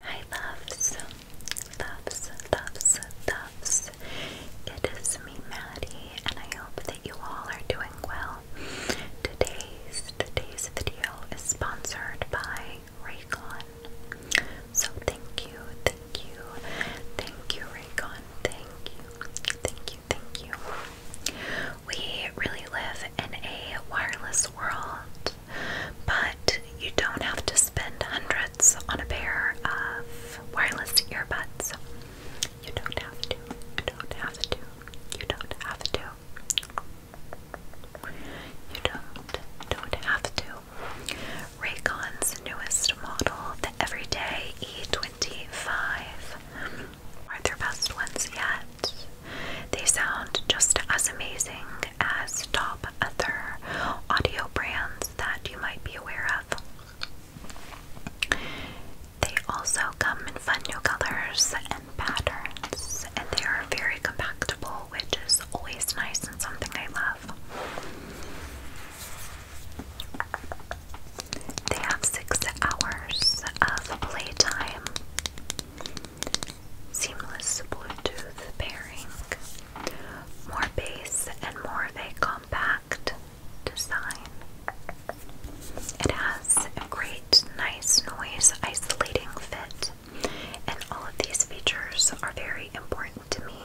Hi loves, loves, loves, loves. It is me, Maddie, and I hope that you all are doing well. Today's today's video is sponsored by Raycon. So thank you, thank you, thank you, Raycon. Thank you, thank you, thank you. We really live in a wireless world but you don't have to spend hundreds on a pair of wireless earbuds. You don't have to. You don't have to. You don't have to. You don't don't have to. Raycon's newest model, the Everyday E25, are their best ones yet. They sound just as amazing as top other audio brands that you might be aware of. They also come in fun new colors and patterns, and they are very compactable, which is always nice and something I love. They have six hours of playtime. Seamless Bluetooth pairing. More bass and more of a compact design. It has a great, nice noise isolating fit, and all of these features are very important to me.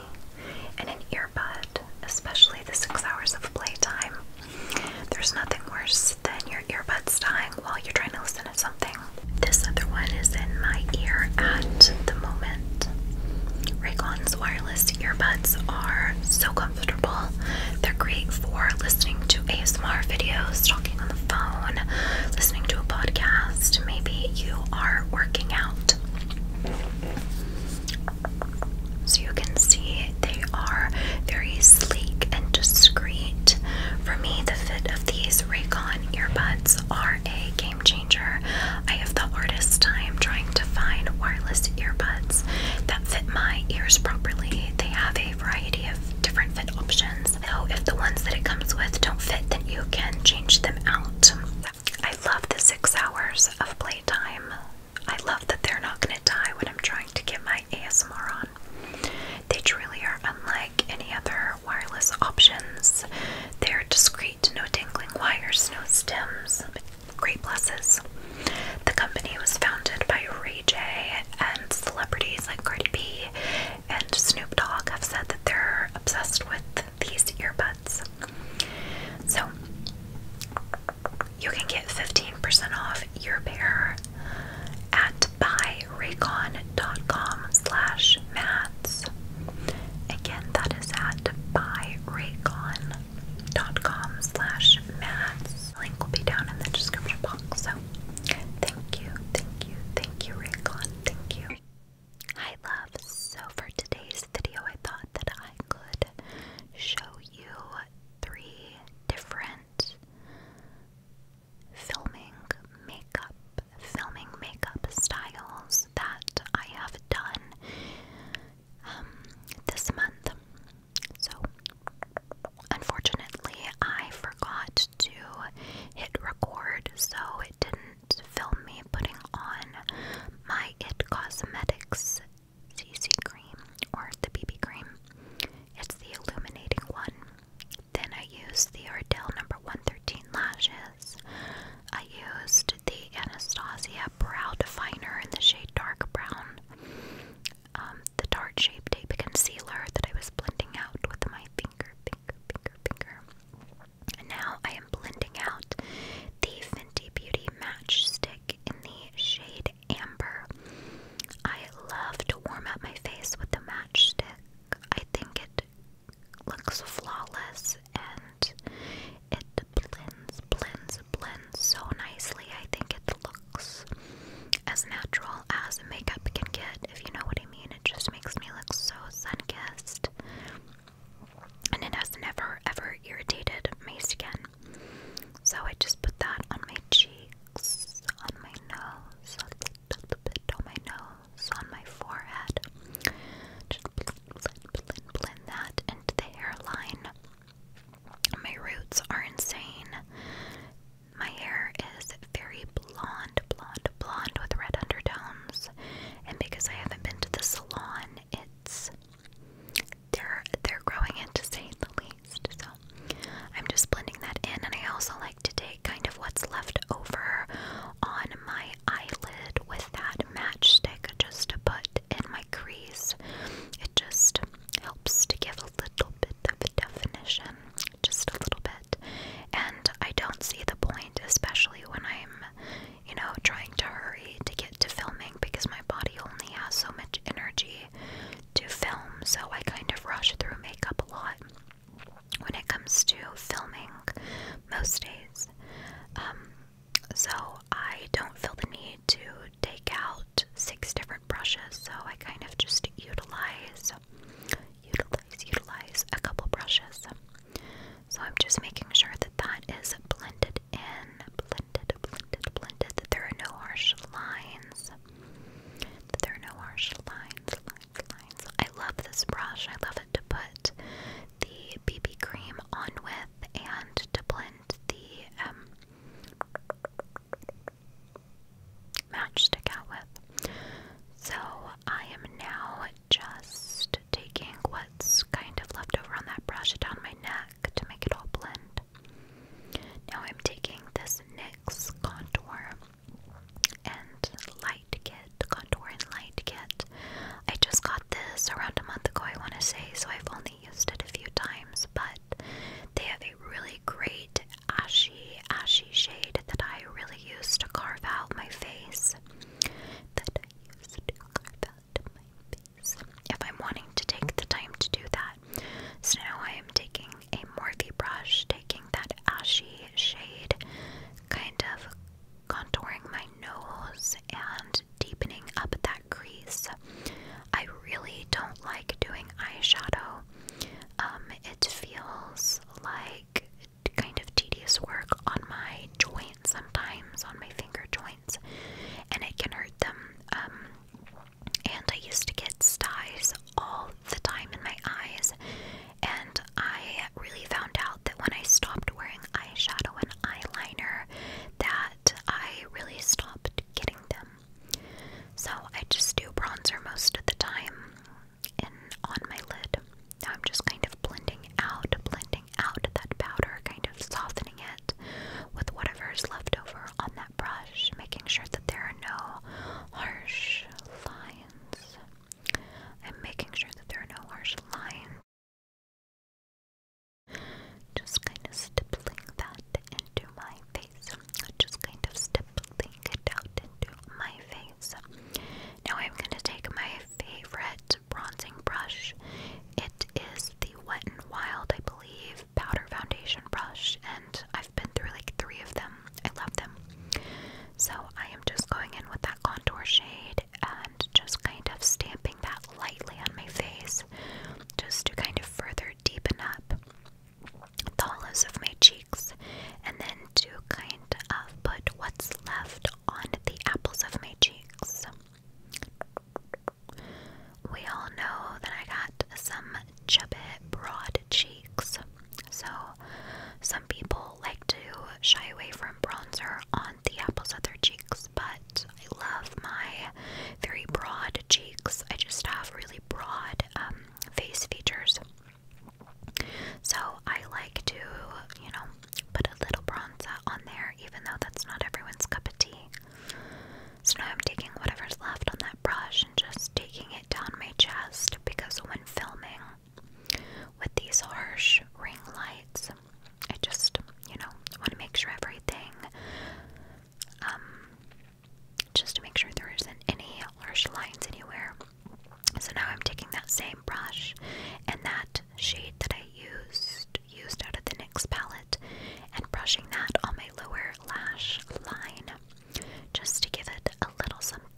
And an earbud, especially the six hours of playtime, there's nothing worse than your earbuds dying while you're trying to listen something. This other one is in my ear at the moment. Raycon's wireless earbuds are so comfortable. They're great for listening to ASMR videos, talking on the phone, listening to a podcast. Maybe you are working out. So you can see they are very sleek and discreet. For me, the fit of these Raycon earbuds are a game changer. I have the hardest time trying to find wireless earbuds that fit my ears properly. They have a variety of different fit options. So if the ones that it comes with don't fit, then you can change them out. I love the six hours of playtime. I love that they're not going to die when I'm trying to get my ASMR on. They truly are unlike any other wireless options. They're discreet, no dangling wires, no stems. Great blessings. The company was founded by Ray J, and celebrities like Cardi B and Snoop Dogg have said that they're obsessed with these earbuds. So, you can get 15% off your pair at buyraycon.com slash English Maths. Again, that is at buyraycon.com slash maths. Link will be down in the description box. So thank you, thank you, thank you, Raycon. Thank you. Hi love. So for today's video I thought that I could show you three different filming makeup filming makeup styles that I have done um, this month. So, unfortunately, I forgot to hit record, so it didn't film me putting on my It Cosmetics CC cream or the BB cream. It's the illuminating one. Then I use the Ardell number 113 lashes. I used the Anastasia Brow Definer in the shade Dark Brown, um, the Tarte Shape Tape Concealer that I was blending out with my finger, finger, finger, finger. And now I am blending out the Fenty Beauty Matchstick in the shade Amber. I love to warm up my face with the matchstick. I think it looks flawless and it blends, blends, blends so nicely. I think it looks as natural as makeup can get, if you know what I mean. It just makes me look so sun-kissed. And it has never ever irritated my skin. So I just put that on my cheeks, on my nose, a bit on my nose, on my forehead. Just blend, blend, blend that into the hairline. My roots are insane. My hair is very blonde, blonde, blonde with red undertones. And because I haven't been to the salon, it's they're they're growing it to say the least. So I'm just blending that in and I also like to take kind of what's left over on my eyelid with that matchstick just to put in my crease. It just helps to give a little bit of definition, just a little bit. And I don't see the point, especially when I'm, you know, trying to hurry to get to filming because my body only has so much energy to film, so I kind of rush through makeup a lot when it comes to filming most days. Um, so I don't feel the need to take out six different brushes, so I kind of just utilize utilize utilize a couple brushes. So I'm just making sure that that is blended in, blended, blended, blended. That there are no harsh lines. there are no harsh lines, I love this brush. I love it to put the BB cream on with and to blend the um, match stick out with. So I am now just taking what's kind of left over on that brush down my neck to make it all blend. Now I'm taking this NYX contour and light light kit, the light kit. I just got this around a month ago, I want to say, so I've only used it a few times, but they have a really great ashy, ashy shade that I really use to carve out my face. That If I'm wanting to take the time to do that. So now I am taking a Morphe brush, taking that ashy shade, kind of contouring my nose and deepening up that crease. I really don't like doing eyeshadow. Um, it feels like kind of tedious work on my joints sometimes, on my finger joints, and it can hurt them. Um, and I used to get styes all the time in my eyes, and I really found out that when I stopped wearing eyeshadow and eyeliner, that I really stopped getting them. So I just do bronzer most of the time and on my lid. I'm just kind of blending out, blending out that powder, kind of softening it with whatever is left over on that brush, making sure that there are no harsh lines. I'm making sure that there are no harsh lines just kind of stippling that into my face. Just kind of stippling it out into my face. Now I'm going to take my favorite bronzing brush. It is the Wet n Wild, I believe, powder foundation brush, and I've been through like three of them. I love them. So I am just going in with that contour shade and just kind of stamping that lightly on my face just to kind of further deepen up the hollows of my cheeks and then to kind of put what's left on the apples of my cheeks. We all know that I got some chubby broad cheeks, so some people like to shy away from bronzer on the apples at their cheeks, but I love my very broad cheeks. I just have really broad um, face features. So I like to, you know, put a little bronzer on there, even though that's not everyone's cup of tea. So now I'm taking whatever's left on that brush and just taking it down my chest because when filming, with these harsh ring lights. I just, you know, want to make sure everything, um, just to make sure there isn't any harsh lines anywhere. So now I'm taking that same brush and that shade that I used used out of the NYX palette and brushing that on my lower lash line just to give it a little something.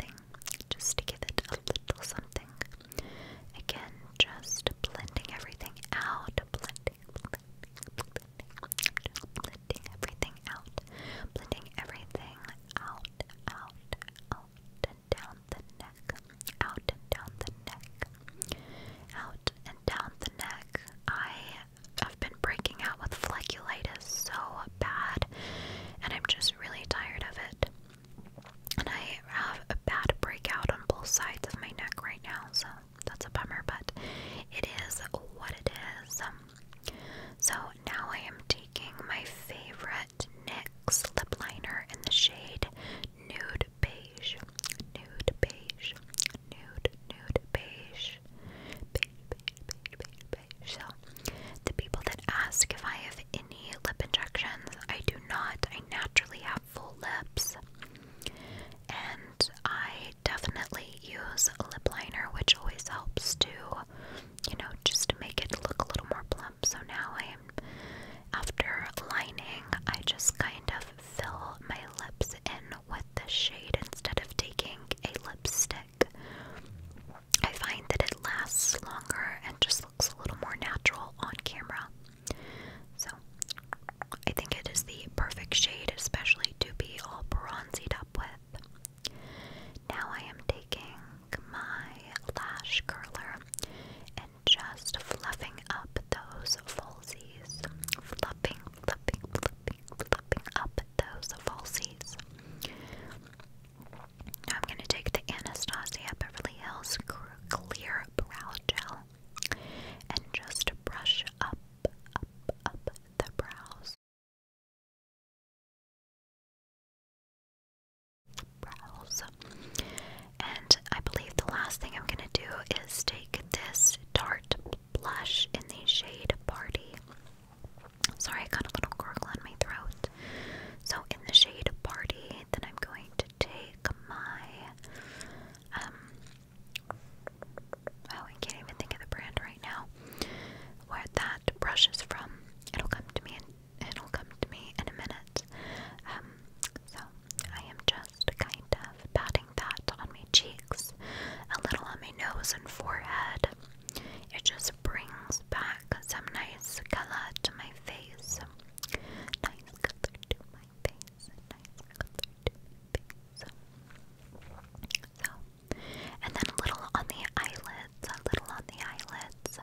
Just to give it a little something. Again, just blending everything out, blending, blending, blending, everything out, blending everything out, out, out and down the neck, out down the neck, out and down the neck. I have been breaking out with folliculitis so bad, and I'm just really tired of it. And I have a bad breakout on both sides of my neck right now, so that's a bummer, but it is what it is. So now I am taking my favorite NYX lip liner in the shade Nude Beige. Nude Beige. Nude, Nude Beige. Beige, beige, beige, beige, So, the people that ask if I have any lip injections, I do not. I naturally have full lips. And I definitely use a lip liner, which always helps to, you know, just to make it look a little more plump. So now I am, after lining, I just kind of fill my lips in with the shade instead of taking a lipstick. I find that it lasts longer and just looks a little more natural on camera. So, I think it is the perfect shade, especially to be all bronzed up with. Now I am taking my lash curler and just fluffing up those falsies. Fluffing, fluffing, fluffing, fluffing up those falsies. Now I'm going to take the Anastasia Beverly Hills Clear brow gel and just brush up, up, up the brows. Brows. And I believe the last thing I'm going to do is take this Tarte blush in the shade Party. Sorry, I got a little gurgle in my throat. So, in the shade Party, then I'm going to take my um, oh I can't even think of the brand right now where that brush is from. It'll come to me in it'll come to me in a minute. Um, so I am just kind of patting that on my cheeks, a little on my nose and forehead. It just brings back some nice color to my face. Nice color to my face. Nice color to face. So, and then a little on the eyelids. A little on the eyelids. So,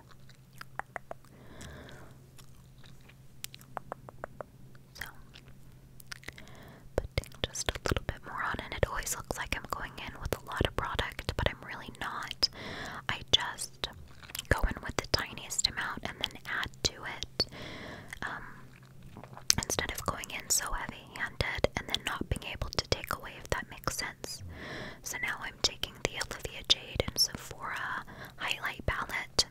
putting just a little bit more on, and it always looks like I'm going in with a lot of product, but I'm really not. I just go in with the tiniest amount and then add to it um, instead of going in so heavy handed and then not being able to take away, if that makes sense. So now I'm taking the Olivia Jade and Sephora highlight palette.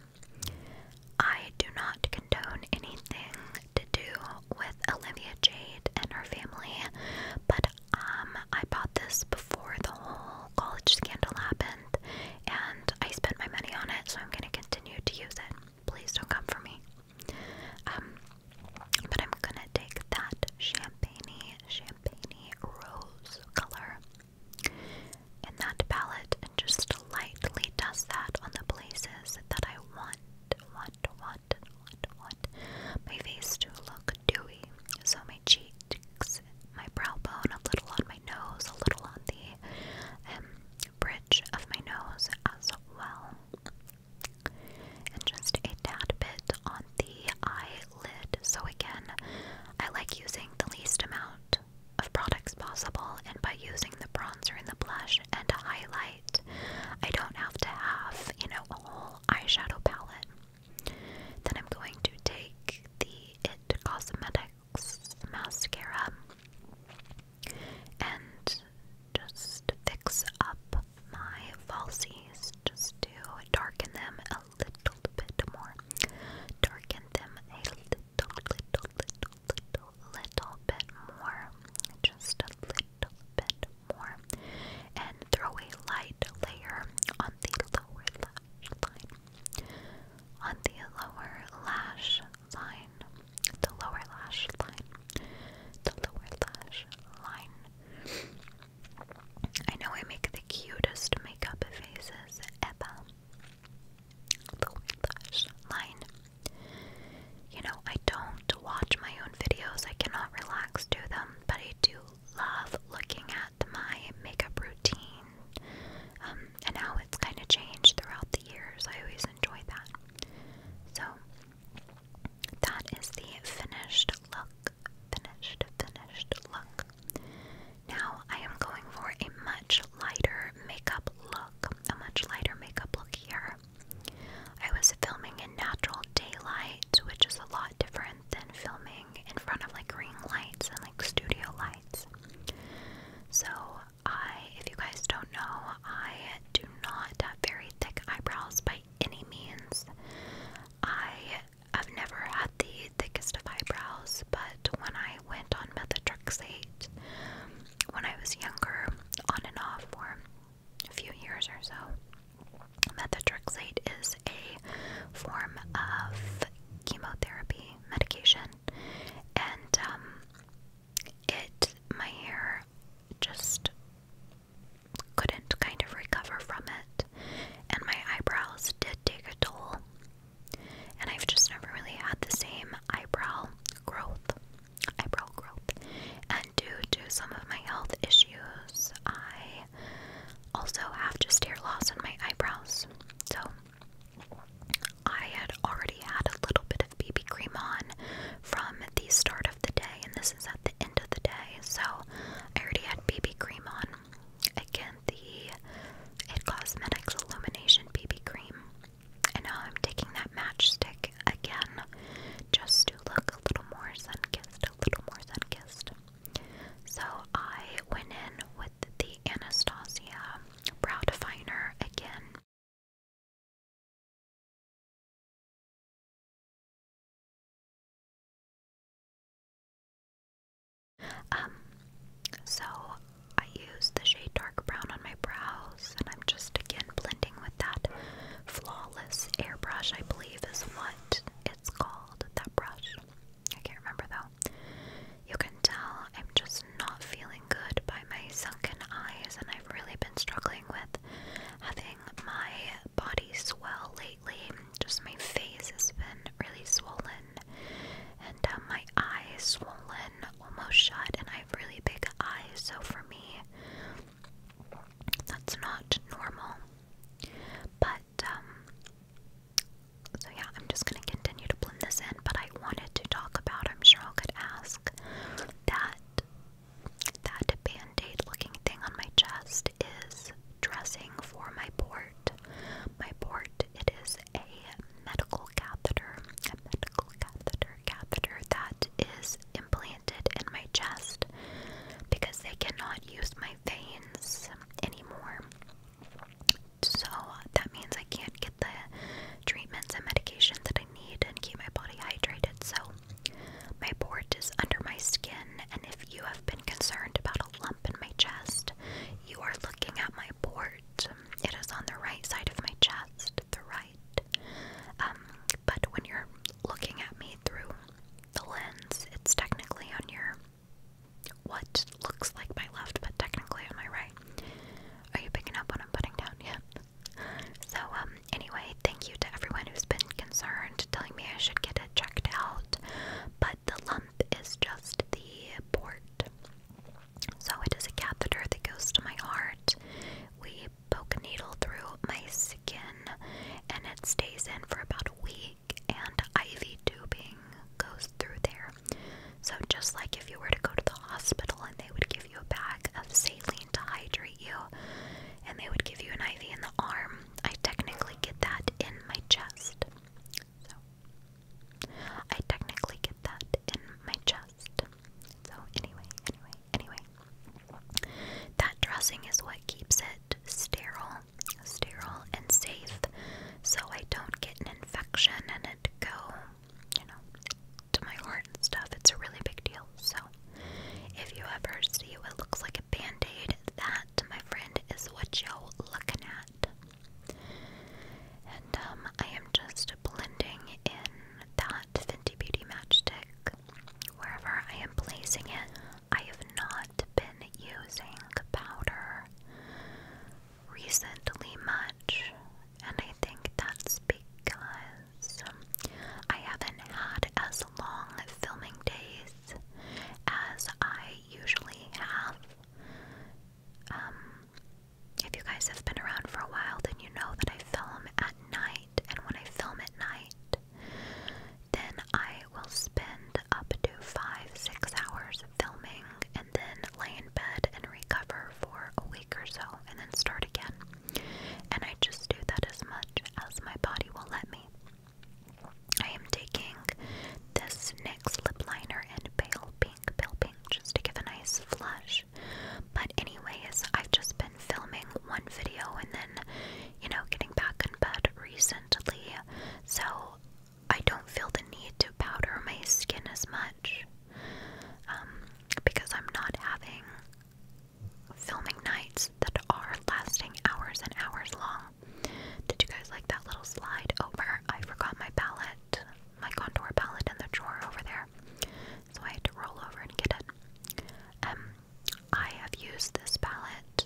I do not condone anything to do with Olivia Jade and her family, but um, I bought this before the whole college scandal happened and I spent my money on it, so I'm going to continue to use it. Please don't come for me. Um, but I'm going to take that champagne, champagne rose color in that palette and just lightly dust that on the places that I want, want, want, want my face to look dewy. So my cheeks my brow bone, a little on my nose, a little on the um, bridge of my nose as well. And just a tad bit on the eyelid. So, again, I like using the least amount of products possible, and by using the bronzer and the blush and a highlight, I don't have to have, you know, a whole eyeshadow palette. Then I'm going to take the It Cosmetic mascara and just fix up my falsies just to darken them a little bit more. Darken them a little, little, little, little, little bit more. Just a little bit more. And throw a light layer on the lower on the lower lash line, the lower lash line, the lower lash line. I know I make the cutest makeup faces ever. Lower lash line. You know, I don't watch my own videos, I cannot relax to them, but I do love looking at my makeup routine um, and how it's kind of changed throughout the years. I always enjoy that. So, that is the finished look. Finished, finished look. Now, I am going for a much lighter makeup look. A much lighter makeup look here. I was filming in natural daylight, which is a lot different than filming in front of like ring lights and like studio lights. So, I, if you guys don't know, I do not have very thick eyebrows by any means. I have never had the thickest of eyebrows, but when I went on methotrexate when I was younger, on and off for a few years or so, methotrexate is a form of chemotherapy medication and um, it my hair just couldn't kind of recover from it and my eyebrows did take a toll and I've just never really had the same eyebrow growth eyebrow growth and due to some of my health issues I also have just hair loss in my eyebrows so I had already had a little bit of BB cream on from the start of the day, and this is at the end of the day, so I already had BB cream on. Again, the It Cosmetics Illumination BB cream. And now I'm taking that matchstick again just to look a little more sun kissed, a little more sun kissed. So I went in with the Anastasia brow definer again. Um, so I use the shade dark brown on my brows, and I'm just again blending with that flawless airbrush, I believe is what it's called. That brush. I can't remember though. You can tell I'm just not feeling good by my sunken eyes, and I've really been struggling with having my body swell lately. Just my face has been really swollen, and um, my eyes swollen almost shut, and I have really big eyes, so for me, that's not normal. But, um, so yeah, I'm just gonna continue to blend this in, but I wanted to talk about, I'm sure I could ask, that that band-aid looking thing on my chest is dressing for my port. My port, it is a medical catheter, a medical catheter, catheter that is implanted in my chest because they cannot use my veins anymore so that means I can't get the treatments and medications that I need and keep my body hydrated. So my port is under my skin, and if you have been concerned about a lump in my chest, you are looking at my port. It is on the right side of my chest, the right. Um, but when you're looking at me through the lens, it's technically on your what looks like my left, but technically on my right. Are you picking up what I'm putting down yet? So, um, anyway, thank you to everyone who's been concerned, telling me I should get it checked out. But the lump is just the port. So, it is a catheter that goes to my heart. We poke a needle through my skin, and it stays in for about a week, and IV tubing goes through there. So, just like if you were to go to the hospital and they would give you a bag of saline to hydrate you and they would give you an IV in the arm, I technically get that in my chest. So, I technically get that in my chest. So, anyway, anyway, anyway. That dressing is what keeps it sterile, sterile, and safe so I don't get an infection and it go, you know, to my heart and stuff. It's a really big deal. So if you ever see what looks like a band-aid, that, my friend, is what you're looking at. And um, I am just blending in that Fenty Beauty Match matchstick wherever I am placing it. I have not been using powder recently much, and I think that's because I haven't had as long filming days as I usually have. Um, if you guys have been around for a while, then you know that I film at night, and when I film at night, then I will spend up to five, six hours filming and then lay in bed and recover for a week or so and then start again. And I just do that as much as my body will let me. I am taking this NYX lip liner in pale pink, pale pink, just to give a nice flush. But, anyways, I've just been filming one video and then, you know, getting back in bed recently. So, I don't feel the need to powder my skin as much um, because I'm not having filming nights that are lasting hours and hours long. Did you guys like that little slide over? I forgot my palette, my contour palette in the drawer over there, so I had to roll over and get it. Um, I have used this palette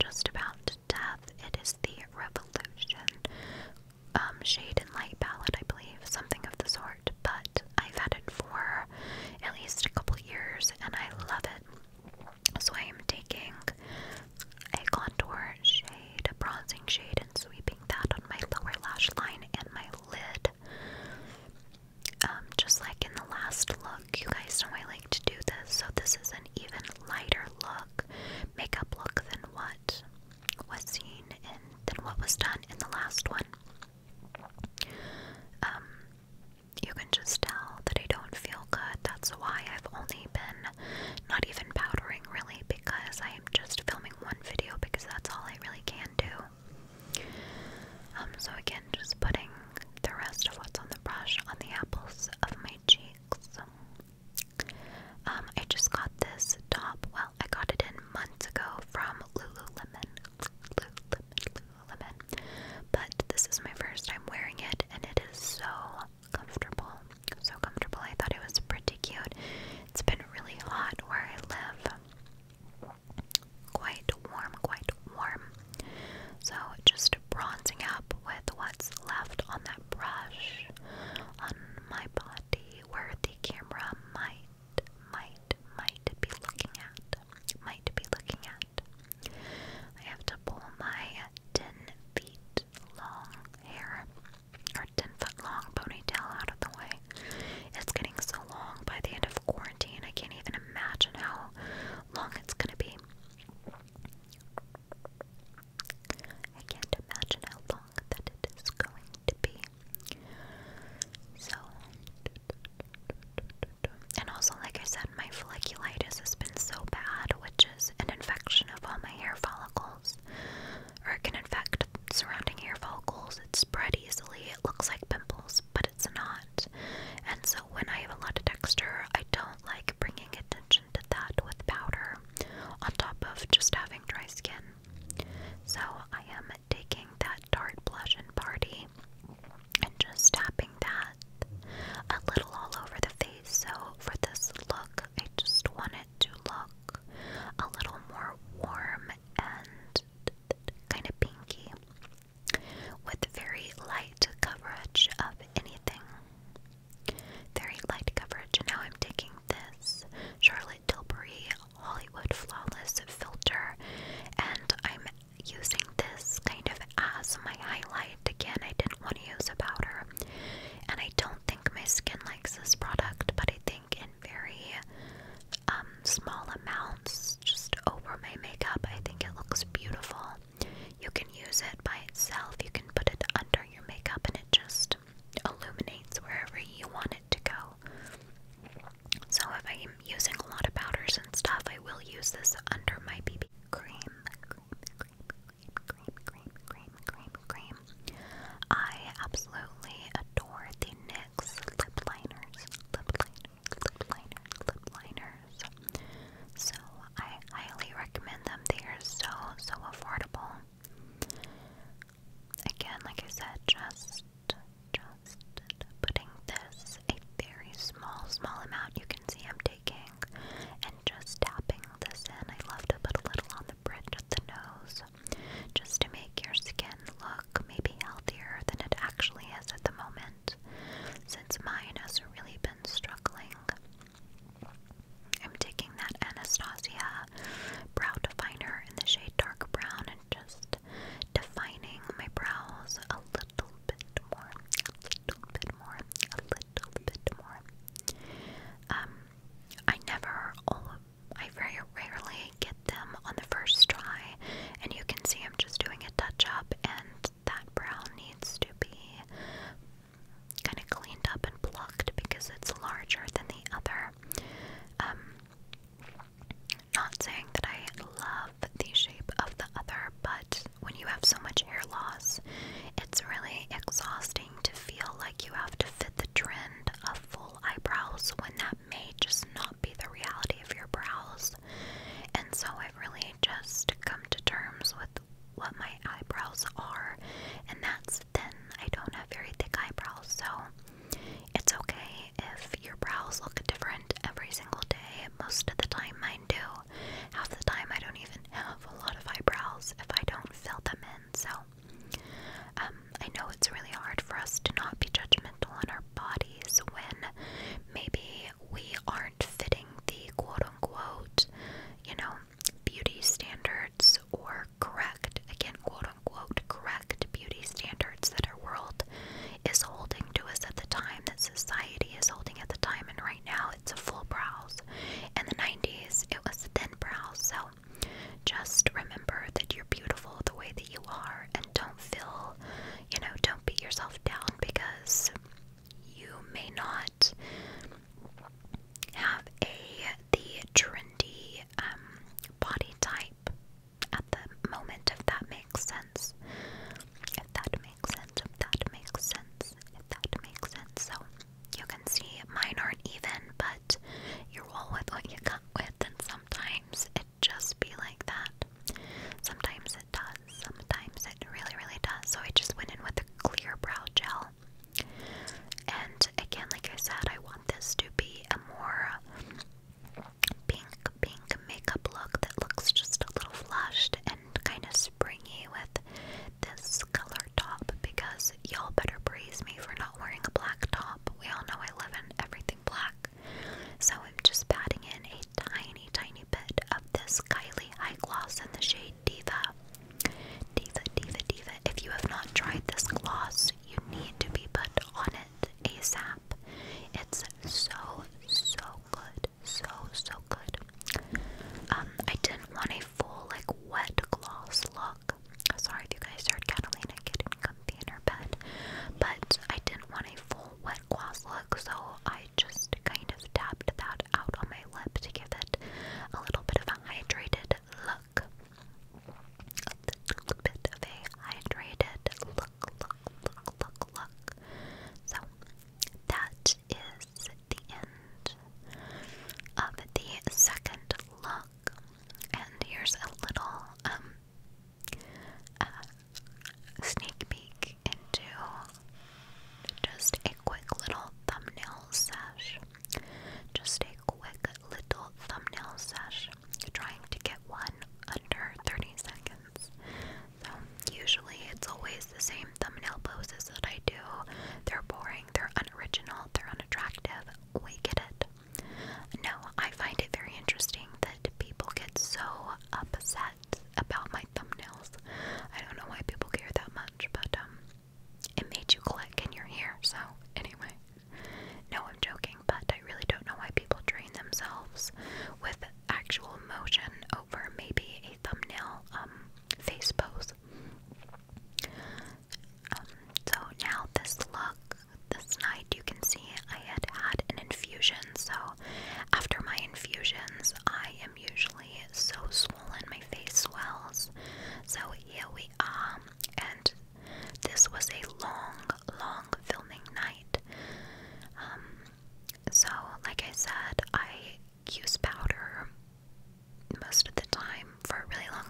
just about to death. It is the Revolution um, shade and light palette, I believe, something of the sort. But I've had it for at least a couple years and I love it. So I am taking a contour shade, a bronzing shade, and sweeping that on my lower lash line and my lid. Um, just like in the last look, you guys know I like to do this, so this is an even lighter look, makeup look than what was seen and then what was done in the last one. Um, you can just tell that I don't feel good. That's why I've only been not even powdering really because I am just filming one video because that's all I really can do. Um, so again, just putting the rest of what's on the brush on the apples of my cheeks um, I just got this top. Well, I got it in months ago from Lululemon. Lululemon. But this is my first time wearing it, and it is so comfortable. So comfortable. I thought it was pretty cute. It's been really hot where I live. Quite warm, quite warm. So just bronzing up with what's left on that brush on my body where the camera might, might, might be looking at. Might be looking at. I have to pull my 10 feet long hair, or 10 foot long ponytail out of the way. It's getting so long by the end of quarantine, I can't even imagine how long it's gonna be. I can't imagine how long that it is going to be. So, and also, like I said, my folliculitis has been so bad, which is an infection of all my hair follicles, or it can infect surrounding hair follicles. It spread easily. It looks like pimples, but it's not. And so, when I have a lot of texture, I don't like bringing attention to that with powder on top of just having dry skin. So I am taking that dark blush and party and just tapping that a little all over the face. So for this look, I just want it to look a little more warm and kind of pinky with very light coverage of anything. Very light coverage. And now I'm taking this Charlotte Charlotte Hollywood Flawless Filter, and I'm using this kind of as my highlight. Again, I didn't want to use a powder, and I don't think my skin likes this product, but I think in very um, small amounts, just over my makeup, I think it looks beautiful. You can use it by itself, you can put it under your makeup, and it just illuminates wherever you want it to go. So if I am using a lot of powders and stuff, I will use this under my BB cream. I absolutely adore the NYX lip liners, lip liners, lip liners, lip liners. So I highly recommend them. They are so, so affordable again, like I said, just just putting this a very small, small amount. You can see I'm taking and just tapping this in. I love to put a little on the bridge of the nose just to make your skin look maybe healthier than it actually is at the moment, since mine has really been struggling. I'm taking that Anastasia brow definer in the shade dark brown and just defining my brows a little bit more, a little bit more, a little bit more. Um, I never, I very rarely get them on the first try, and you can see I'm just doing a touch up, and that brow needs to be kind of cleaned up and plucked because it's larger than the other here. Um, not saying that I love the shape of the other, but when you have so much hair loss, it's really exhausting to feel like you have to fit the trend of full eyebrows when that may just not be the reality of your brows. And so I've really just come to terms with what my eyebrows are, and that's thin. I don't have very thick eyebrows, so it's okay if your brows look different every single day. Most of the time, mine do. Half the time, I don't even have a lot of eyebrows if I don't fill them in, so. Um, I know it's really hard for us to not be judgmental on our bodies when maybe we aren't fitting the quote unquote, you know, beauty standards or our correct, again, quote unquote, correct beauty standards that our world is holding to us at the time, that society is holding at the time, and right now it's a full brows. In the 90s, it was thin brows. So just remember that you're beautiful the way that you are, and don't feel, you know, don't beat yourself down because you may not have a the trendy um, body type at the moment, if that makes sense. If that makes sense, if that makes sense, if that makes sense. So you can see mine aren't even, but you roll with what you got with, and sometimes it just be like that. Sometimes it does, sometimes it really, really does. So I just went in with a clear brow gel. And again, like I said, I want this to be a more pink, pink makeup look that looks just a little flushed and kind of springy with this color top because y'all better praise me for not wearing a black top. We all know I live in everything black. So I'm just patting in a tiny, tiny bit of this Kylie High Gloss in the shade Diva. Diva, Diva, Diva. If you have not tried this gloss, you need to be put on it ASAP. It's so, so good. So, so good. Um, I didn't want a full, like, wet gloss look. Sorry if you guys heard Catalina getting comfy in her bed, but I didn't want a full wet gloss look, so I just kind of tapped that out on my lip to give it a little bit of a hydrated hydrated look. A little bit of a hydrated look, look, look, look, look. So that is the end of the second look. And here's a little um uh, sneak peek into just a quick little thumbnail sesh. Just a quick little thumbnail sesh trying to get one under 30 seconds. So, usually it's always the same thumbnail poses that I do. They're boring, they're unoriginal, they're unattractive. We get it. No, I find it very interesting that people get so upset about my thumbnails. I don't know why people care that much, but um, it made you click and you're here. So, anyway. No, I'm joking, but I really don't know why people drain themselves with actual motion over maybe a thumbnail um, face pose. Um, so now this look, this night you can see I had had an infusion. So after my infusions, I am usually so swollen, my face swells. So here we are, and this was a long, long filming night. Um, so, like I said, I use powder most of the time for a really long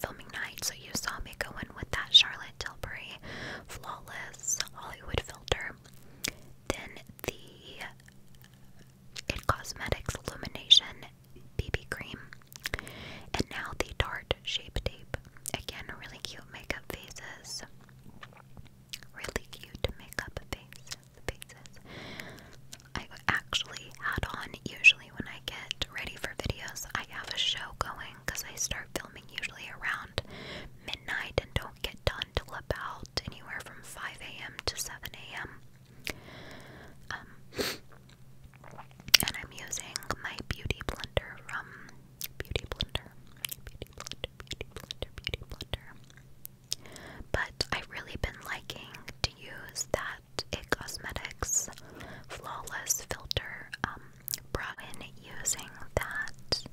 filming night. So, you saw me go in with that Charlotte Tilbury Flawless Hollywood filter. Then the It Cosmetics Illumination BB cream. And now the dart Shape Tape. Again, really cute makeup faces. Really cute makeup face, faces. I actually add on, usually when I get ready for videos, I have a show going because I start filming usually around midnight and don't get done till about anywhere from 5 a.m. to 7 a.m. Um, and I'm using my Beauty Blender from Beauty Blender, Beauty Blender, Beauty Blender, Beauty Blender. But I've really been liking to use that It Cosmetics Flawless Filter um, brush. When using that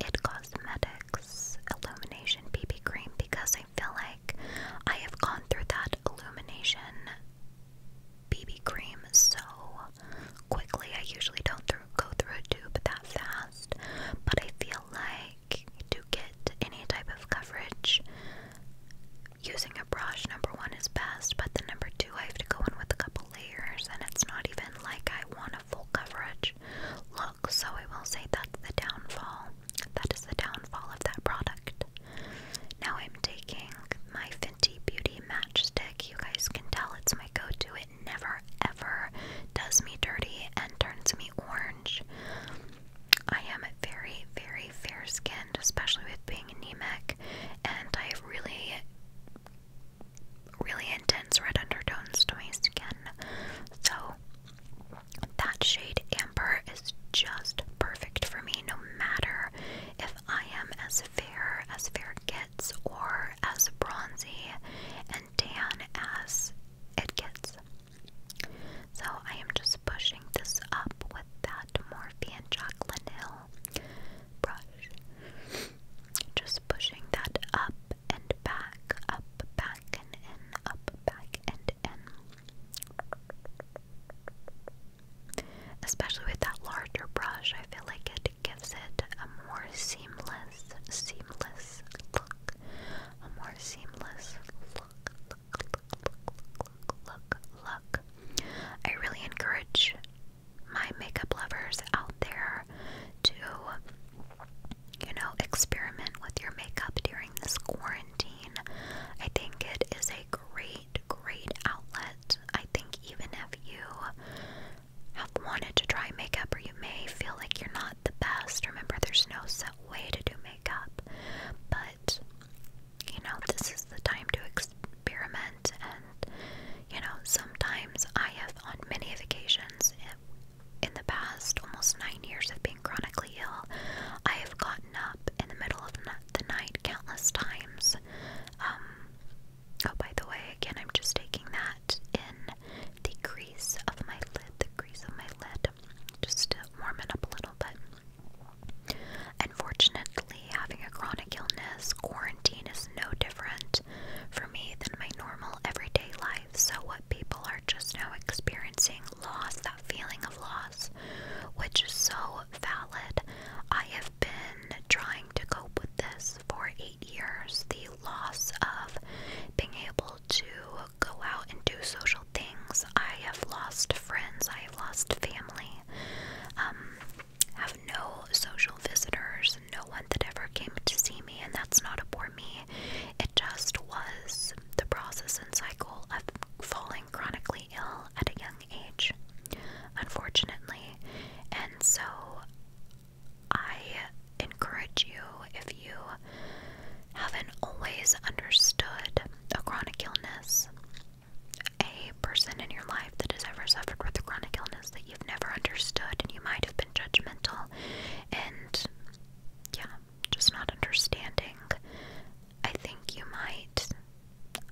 It Cosmetics Illumination BB Cream because I feel like I have gone through that illumination BB cream so quickly. I usually don't go through a tube that fast, but I feel like to get any type of coverage, using a brush, number one, is best, but the number two, I have to go in with a couple layers, and it's not even like I want a full coverage look. So I will say that's the downfall. That is the downfall of that product. Now I'm taking my Fenty Beauty matchstick. You guys can tell it's my go-to. It never ever does me dirty and turns me orange. I am very, very fair-skinned, especially with being anemic, and I have really, really intense red undertones to my skin. So that shade amber is just perfect for me no matter if I am as fair as fair gets, or as bronzy and tan as it gets. So I am just pushing this up with that Morphe and Jacqueline Hill brush. Just pushing that up and back, up, back, and in, up, back, and in. Especially with that larger brush, I feel like it gives it a more seamless, seamless look. A more seamless look, look, look, look, look, look, look. I really encourage my makeup lovers out there to, you know, experiment with your makeup during this quarantine. I think it is a great great, outlet. I think even if you have wanted to try makeup or you may feel like you're not the best, remember there's no set way to do makeup. But you know, this is the time to experiment and you know, sometimes I have on many occasions in, in the past almost 9 years of being chronically ill, I have gotten up in the middle of the night countless times um Oh, by the way, again, I'm just taking that in the crease of my lid, the crease of my lid, just warming up a little bit. Unfortunately, having a chronic illness, quarantine is no different for me than my normal everyday life. So, what people are just now experiencing loss, that feeling of loss, which is so valid. I have have been trying to cope with this for eight years the loss of being able to go out and do social things. I have lost friends, I have lost family, um, have no social visitors, no one that ever came to see me, and that's not a poor me. It just was the process and cycle of falling chronically ill at a young age, unfortunately. And so I encourage you, if you haven't always understood a chronic illness, a person in your life that has ever suffered with a chronic illness that you've never understood and you might have been judgmental and yeah, just not understanding, I think you might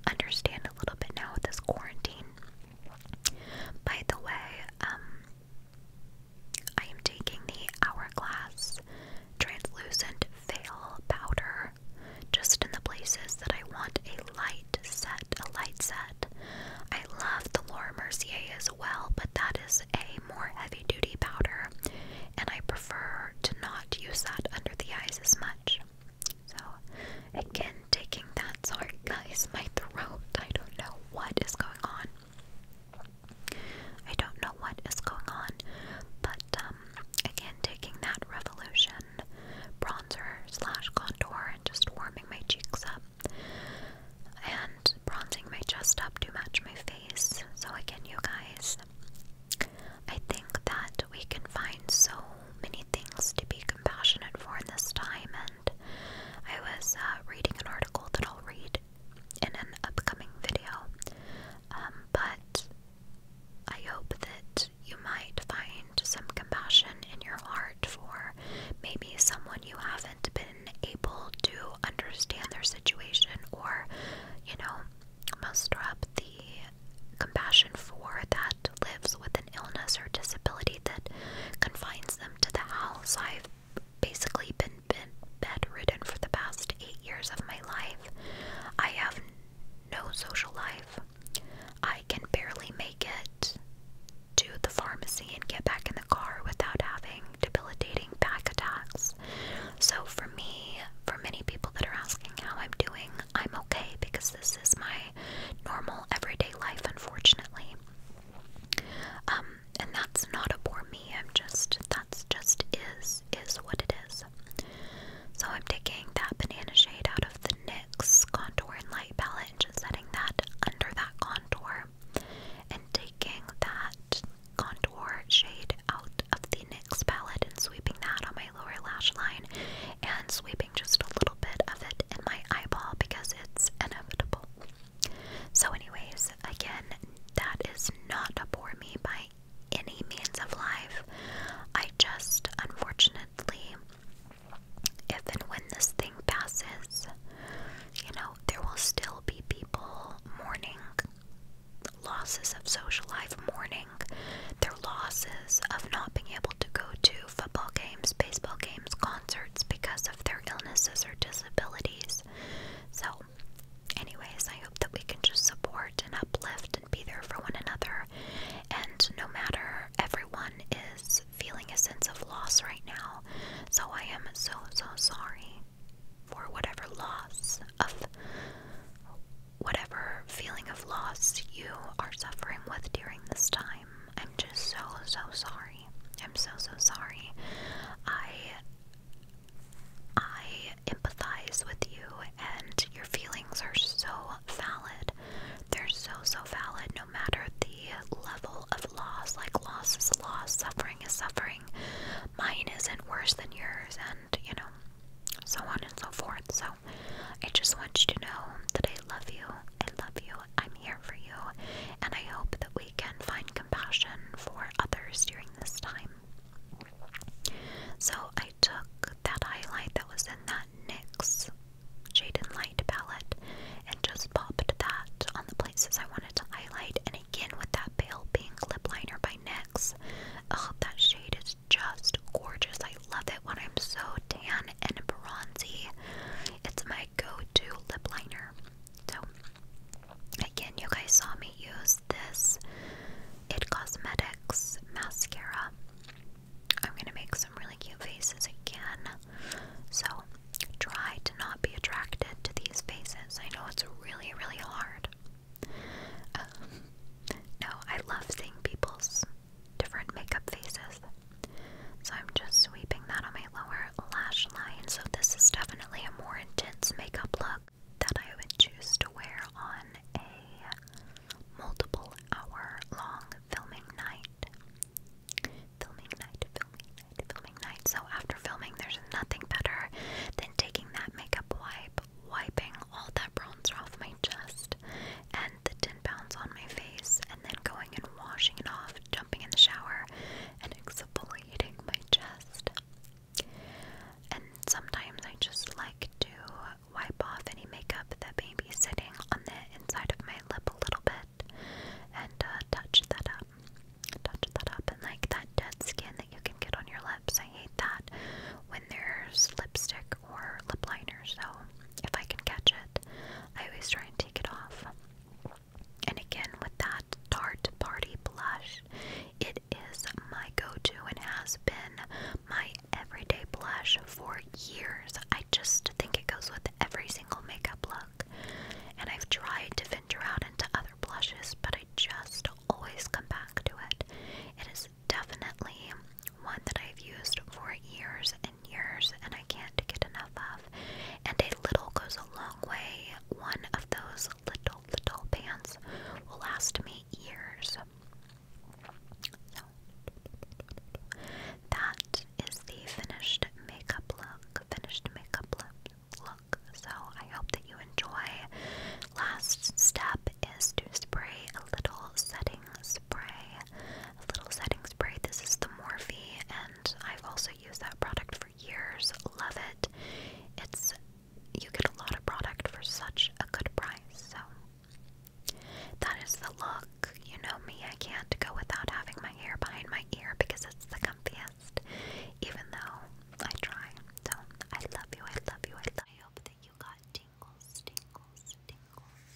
understand a little bit now with this quarantine. By the way, um, I am taking the Hourglass Translucent Veil Powder just in the places that I want a light set, a light set. I love the Laura Mercier as well, but that is a more heavy duty powder, and I prefer to not use that under the eyes as much. So, again, taking that. Sorry, guys, my throat. I don't know what is going on. I don't know what is going on, but um, again, taking that revolution bronzer slash contour and just warming my cheeks up and bronzing my chest up to match my face. So, again, you guys, I think that we can find so many things to be compassionate for in this time, and I was uh, reading an article that I'll read in an upcoming video. Um, but I hope that you might find some compassion in your heart for maybe someone you haven't been able to understand their situation or, you know, muster up the compassion for that that lives with an illness or disability that confines them to the house. I've basically been, been bedridden for the past eight years of my life. I have no social life. I can barely make it to the pharmacy and get back in the car without having debilitating back attacks. So, for me, for many people that are asking how I'm doing, I'm okay because this is my normal everyday life, unfortunately. Um, and that's not a poor me. I'm just that's just is is what it is. So I'm taking that banana shade out of the NYX contour and light palette and just setting that under that contour and taking that contour shade out of the NYX palette and sweeping that on my lower lash line and sweeping just a little bit of it in my eyeball because it's inevitable. So, anyways, again, that is not a bore me by any means of life. I just, unfortunately, if and when this thing passes, you know, there will still be people mourning losses of social life, mourning their losses of not being able to go to football games, baseball games, concerts because of their illnesses or disabilities. So, anyways, I hope that we can just support and uplift and be there for one another. And no matter, everyone is feeling a sense of loss right now. So, I am so, so sorry for whatever loss of whatever feeling of loss you are suffering with during this time. I'm just so so sorry. I'm so so sorry. I I empathize with you and your feelings are so valid. They're so so valid no matter the level of loss. Like loss is loss, suffering is suffering. Mine isn't worse than yours and you know so on and so forth. So I just want you to know that I love you. I love you. I'm here for you. And I hope that we can find compassion for others during this time. So I took that highlight that was in that NYX Jaden Light palette and just popped that on the places I wanted to highlight. And again, with that pale pink lip liner by NYX, oh, that shade is just gorgeous. I love it when I'm so tan and bronzy. It's my go-to lip liner. So again, you guys saw me use this It Cosmetics mascara. I'm gonna make some really cute faces again. So try to not be attracted to these faces. I know it's really, really hard. no, I love seeing people's different makeup faces. So I'm just sweeping that on my lower lash line. So this is definitely a more intense makeup look that I would choose to wear on a multiple hour long filming night. Filming night, filming night, filming night. So after filming, there's nothing better than taking that makeup wipe, wiping all that bronzer off my chest, the 10 pounds on my face and then going and washing it off, jumping in the shower, and exfoliating my chest. And sometimes I just like to wipe off any makeup that may be sitting on the inside of my lip a little bit and uh, touch that up. Touch that up and like that dead skin that you can get on your lips. I hate that when there's lipstick or lip liner, so if I can catch it, I always try and take it off. And again, with that Tarte Party blush, it is my go to and has been my everyday blush for years. I just think it goes with every single makeup look. And I've tried to venture out into other blushes, but I just always come back to it. It is definitely one that I've used for years and years and I can't get enough of. And a little goes a long way. One of those little, little pans will last me years. So, that is the finished makeup look. Finished makeup look. look. So, I hope that you enjoy. Last step is to spray a little setting spray spray, a little setting spray. This is the Morphe, and I've also used that product for years. Love it. It's you get a lot of product for such a good price. So that is the look. You know me, I can't go without having my hair behind my ear because it's the comfiest. Even though I try. So I love you. I love you. I love you. I hope that you got tingles, tingles, tingles.